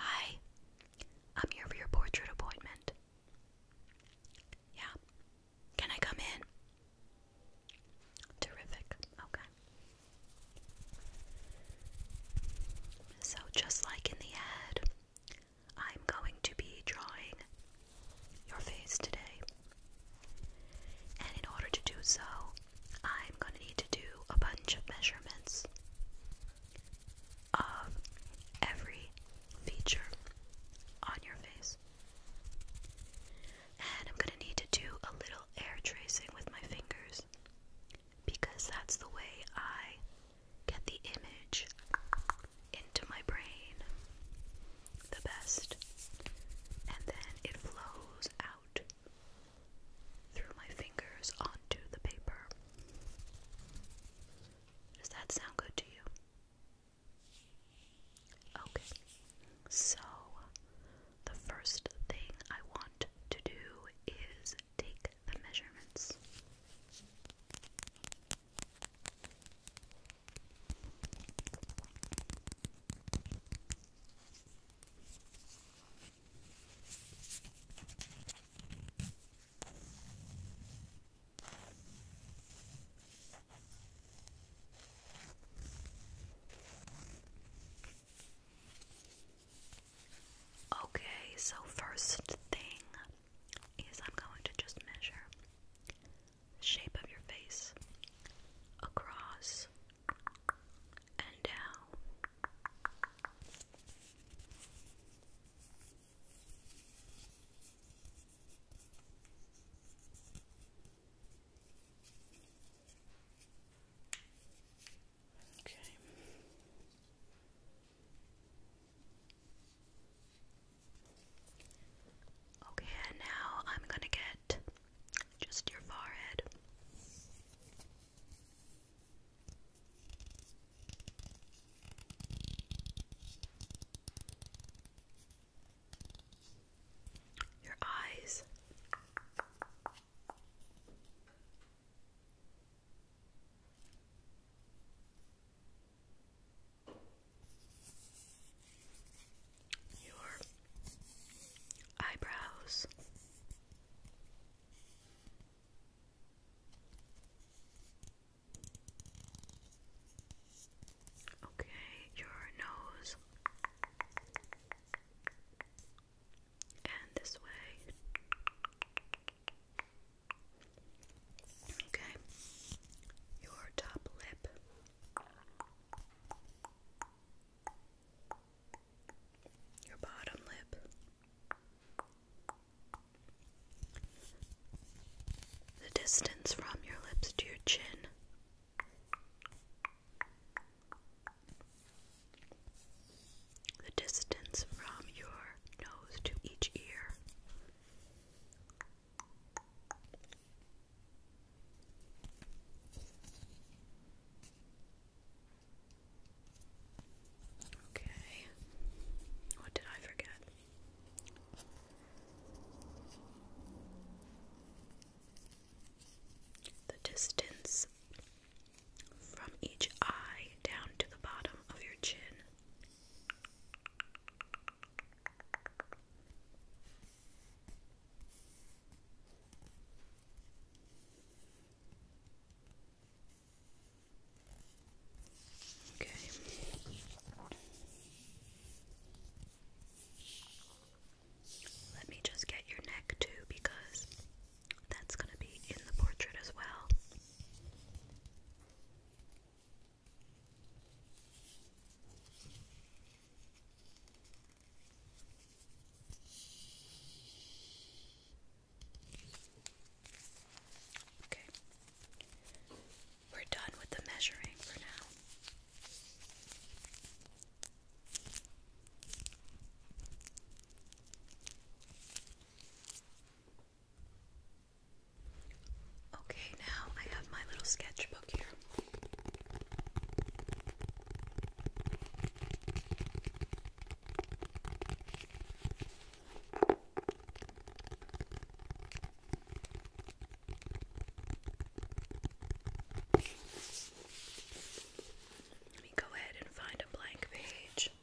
Hi, I'm here for your portrait appointment. Yeah, can I come in? Terrific, okay. So, just like in the head, I'm going to be drawing your face today. And in order to do so, I'm going to need to do a bunch of measurements of every feature on your face. And I'm going to need to do a little air tracing with my fingers because that's the way I get the image into my brain the best, and then it flows out through my fingers onto the paper. Does that sound good to you? Okay, so the first thing I want to do is take the measurements. Okay, so first thing is I'm going to just measure shape of your face, across and down. Okay. Okay, now I'm going to get just your forehead. Your eyes your eyebrows. Okay, your nose. And this way. Okay, your top lip. Your bottom lip, the distance from your lips to your chin, the distance from your nose to each ear, Okay. What did I forget? The distance from each eye down to the bottom of your chin. Okay. Let me just get your neck too because that's going to be in the portrait as well. Okay. We're done with the measuring for now. Okay, now I have my little sketchbook here. Let me go ahead and find a blank page.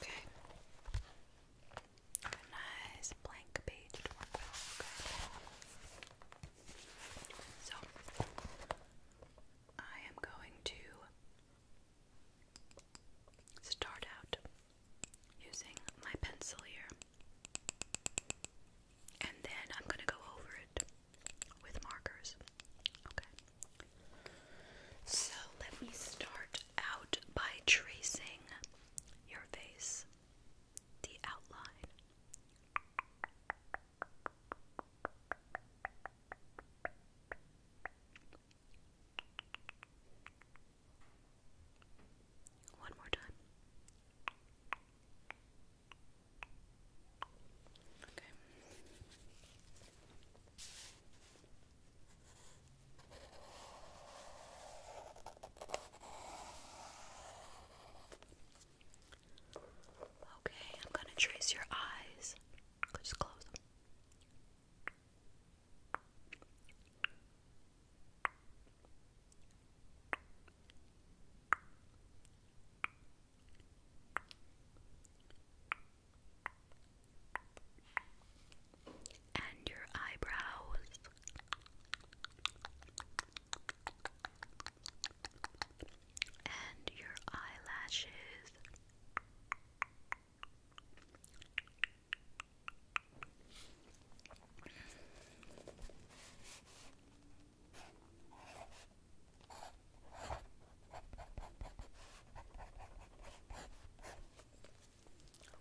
Okay. A nice blank page So I am going to start out using my pencil here, and then I'm going to go over it with markers. Okay. So let me start out by tracing your face, the outline. One more time. Okay. Okay, I'm going to trace your eyes. Just close them and your eyebrows. And your eyelashes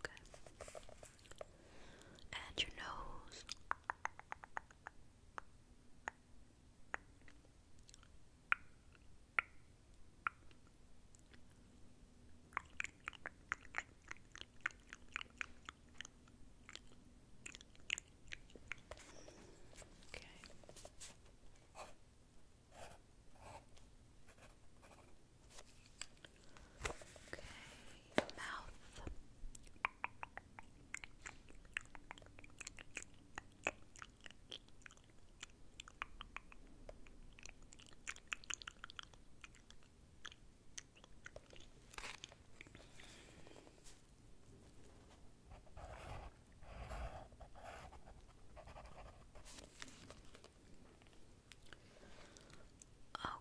Okay. And your nose. Okay. Okay, mouth.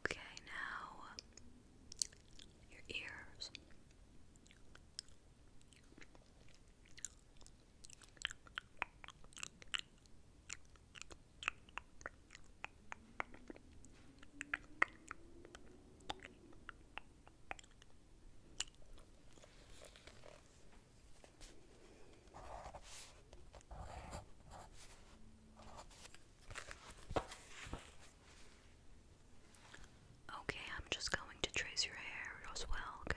Okay, now your ears. Okay, I'm just going to trace your hair as well, okay?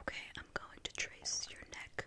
Okay, I'm going to trace your neck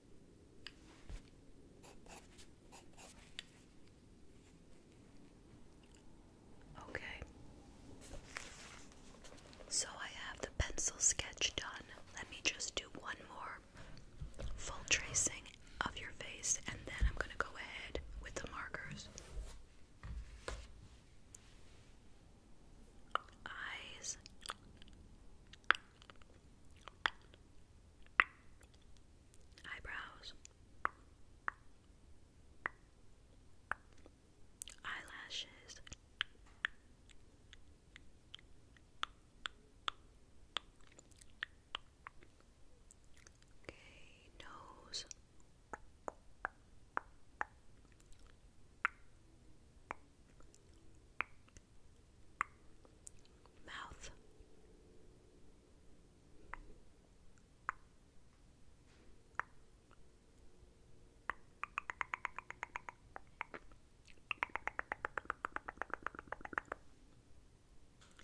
Okay. So I have the pencil sketch done. Let me just do one more full tracing of your face and then I'm going to go ahead with the markers. Eyes eyebrows, eyelashes. Okay, nose mouth.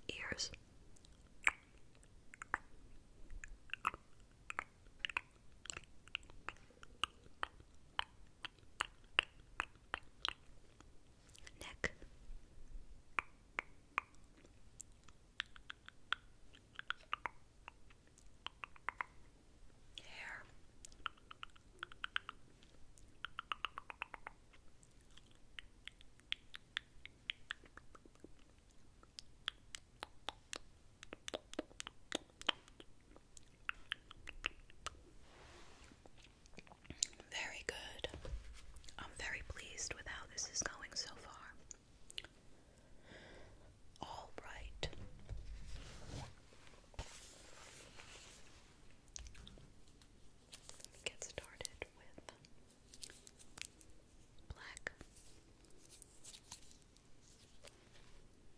Ears neck, hair. Very good. I'm very pleased with how this is going so far. All right. Get started with black.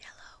Yellow.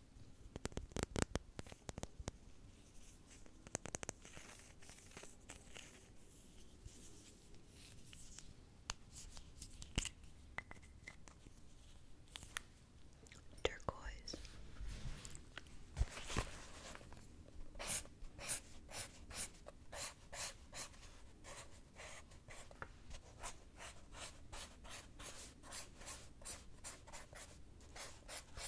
Turquoise.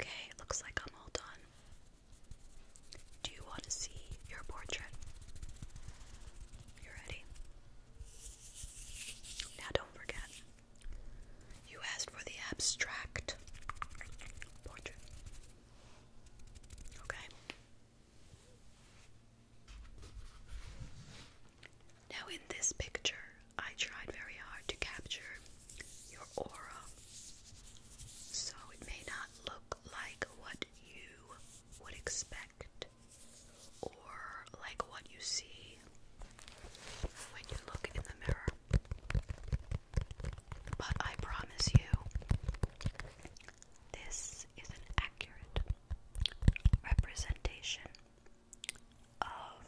Okay, looks like I'm all done. Do you want to see your portrait? You ready? Now don't forget, you asked for the abstract portrait. Okay? Now, in this picture, I tried very hard to capture your aura, so it may not look like what you would expect or like what you see when you look in the mirror. But I promise you, this is an accurate representation of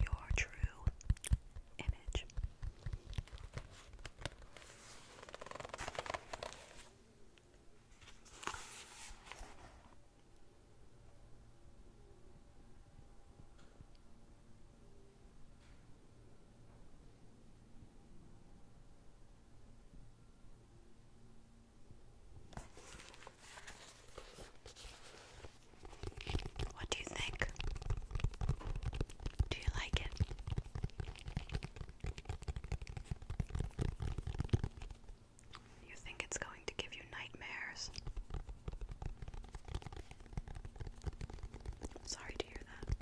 your true image. What do you think? Do you like it? You think it's going to give you nightmares? Sorry to hear that.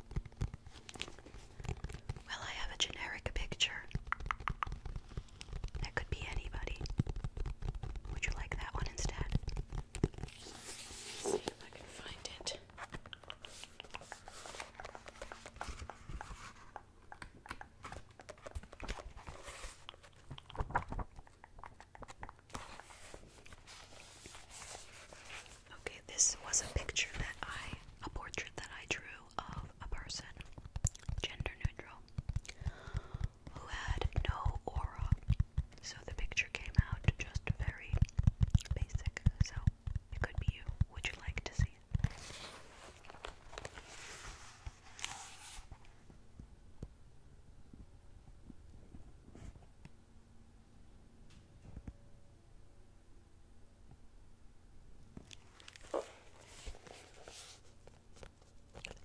Well, I have a generic picture. That could be anybody. Would you like that one instead? see if I can find it. Okay, this was a picture that I, a portrait that I drew of a person, gender neutral, who had no aura so the picture came out just very basic. So it could be you. Would you like to see it?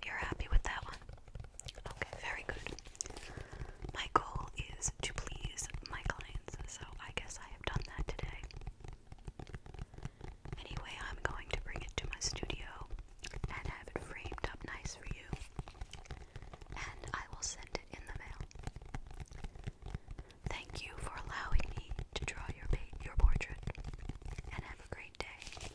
You're happy with that one? Okay, very good. My goal is to please my clients, so I guess I have done that today. Anyway, I'm going to bring it to my studio and have it framed up nice for you, and I will send it in the mail. Thank you for allowing me to draw your your portrait, and have a great day.